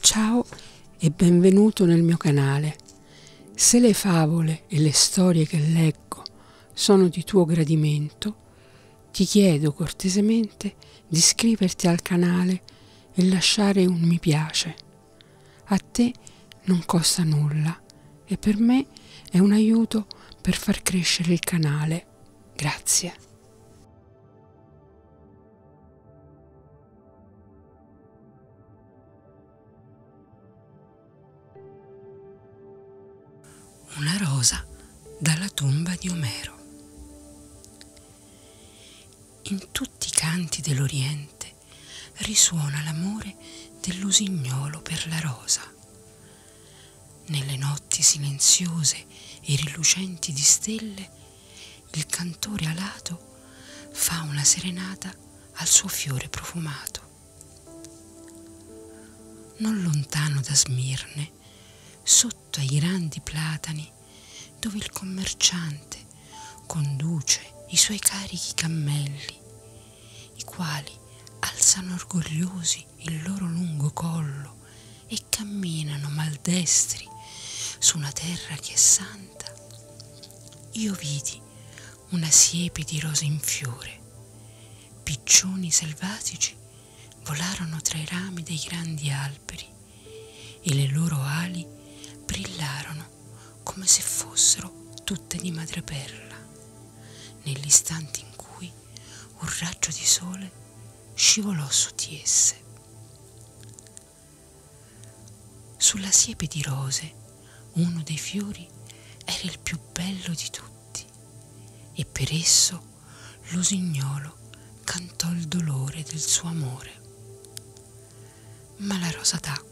Ciao e benvenuto nel mio canale. Se le favole e le storie che leggo sono di tuo gradimento, ti chiedo cortesemente di iscriverti al canale e lasciare un mi piace. A te non costa nulla vita e per me è un aiuto per far crescere il canale. Grazie. Una rosa dalla tomba di Omero. In tutti i canti dell'Oriente risuona l'amore dell'usignolo per la rosa, nelle notti silenziose e rilucenti di stelle, il cantore alato fa una serenata al suo fiore profumato. Non lontano da Smirne, sotto ai grandi platani, dove il commerciante conduce i suoi carichi cammelli, i quali alzano orgogliosi il loro lungo collo e camminano maldestri su una terra che è santa. Io vidi una siepe di rose in fiore, piccioni selvatici volarono tra i rami dei grandi alberi e le loro ali brillarono come se fossero tutte di madreperla, nell'istante in cui un raggio di sole scivolò su di esse. Sulla siepe di rose uno dei fiori era il più bello di tutti e per esso l'usignolo cantò il dolore del suo amore ma la rosa tacque.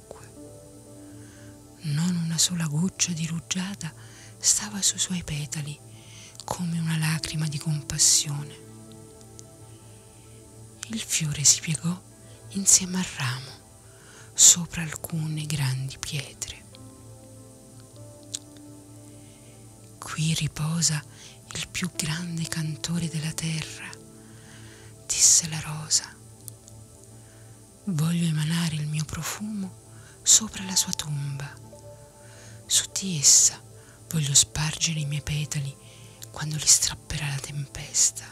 Non una sola goccia dirugiata stava sui suoi petali come una lacrima di compassione. Il fiore si piegò insieme al ramo sopra alcune grandi pietre. Qui riposa il più grande cantore della terra, disse la rosa. Voglio emanare il mio profumo sopra la sua tomba. Su di essa voglio spargere i miei petali quando li strapperà la tempesta.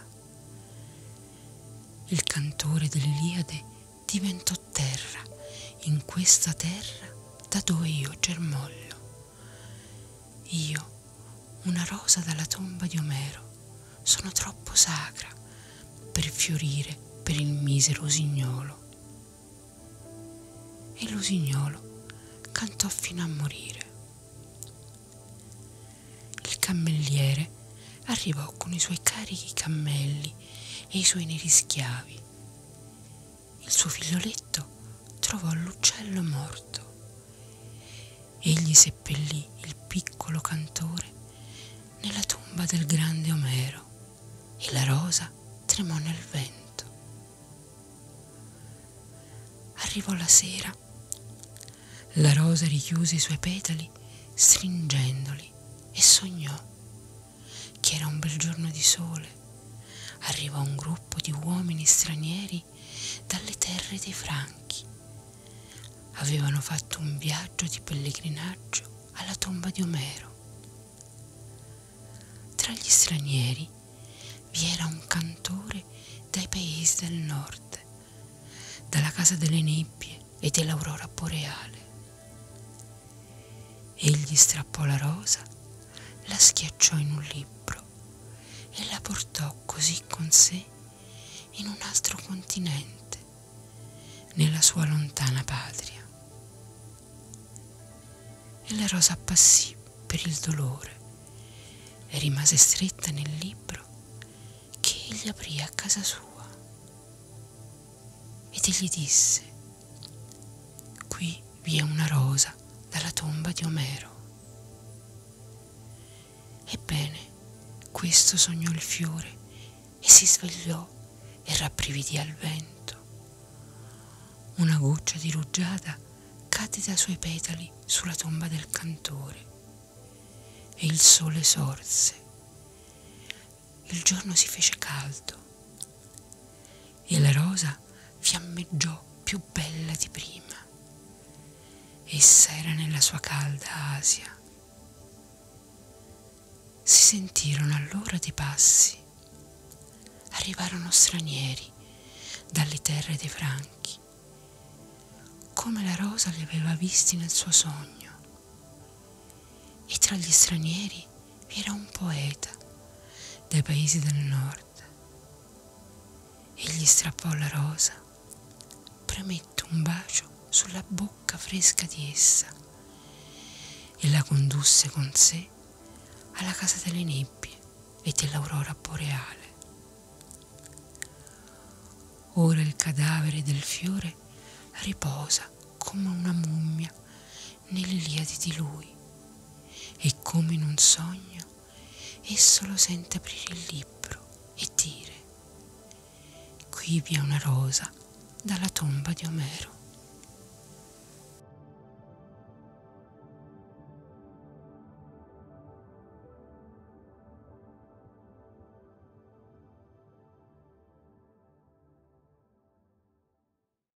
Il cantore dell'Iliade diventò terra, in questa terra da dove io germoglio. Io una rosa dalla tomba di Omero. Sono troppo sacra per fiorire per il misero usignolo. E l'usignolo cantò fino a morire. Il cammelliere arrivò con i suoi carichi cammelli e i suoi neri schiavi. Il suo figlioletto trovò l'uccello morto Egli seppellì il piccolo cantore nella tomba del grande Omero e la rosa tremò nel vento. Arrivò la sera, la rosa richiuse i suoi petali stringendoli e sognò che era un bel giorno di sole. Arrivò un gruppo di uomini stranieri lontani dalle terre dei Franchi. Avevano fatto un viaggio di pellegrinaggio alla tomba di Omero. Tra gli stranieri vi era un cantore dai paesi del nord, dalla casa delle nebbie e dell'aurora boreale. Egli strappò la rosa, la schiacciò in un libro e la portò così con sé in un altro continente, nella sua lontana patria. E la rosa appassì per il dolore e rimase stretta nel libro che egli aprì a casa sua. Ed egli disse, qui vi è una rosa dalla tomba di Omero. Ebbene, questo sognò il fiore e si svegliò e rabbrividì al vento. Una goccia di rugiada cadde dai suoi petali sulla tomba del cantore e il sole sorse. Il giorno si fece caldo e la rosa fiammeggiò più bella di prima. Essa era nella sua calda Asia. Si sentirono allora dei passi. Arrivarono stranieri dalle terre dei franchi, come la rosa li aveva visti nel suo sogno. E tra gli stranieri vi era un poeta dai paesi del nord forte e gli strappò la rosa, premette un bacio sulla bocca fresca di essa e la condusse con sé alla casa delle nebbie e dell'aurora boreale. Ora il cadavere del fiore riposa come una mummia nell'Iliade di lui e come in un sogno esso lo sente aprire il libro e dire qui vi è una rosa dalla tomba di Omero.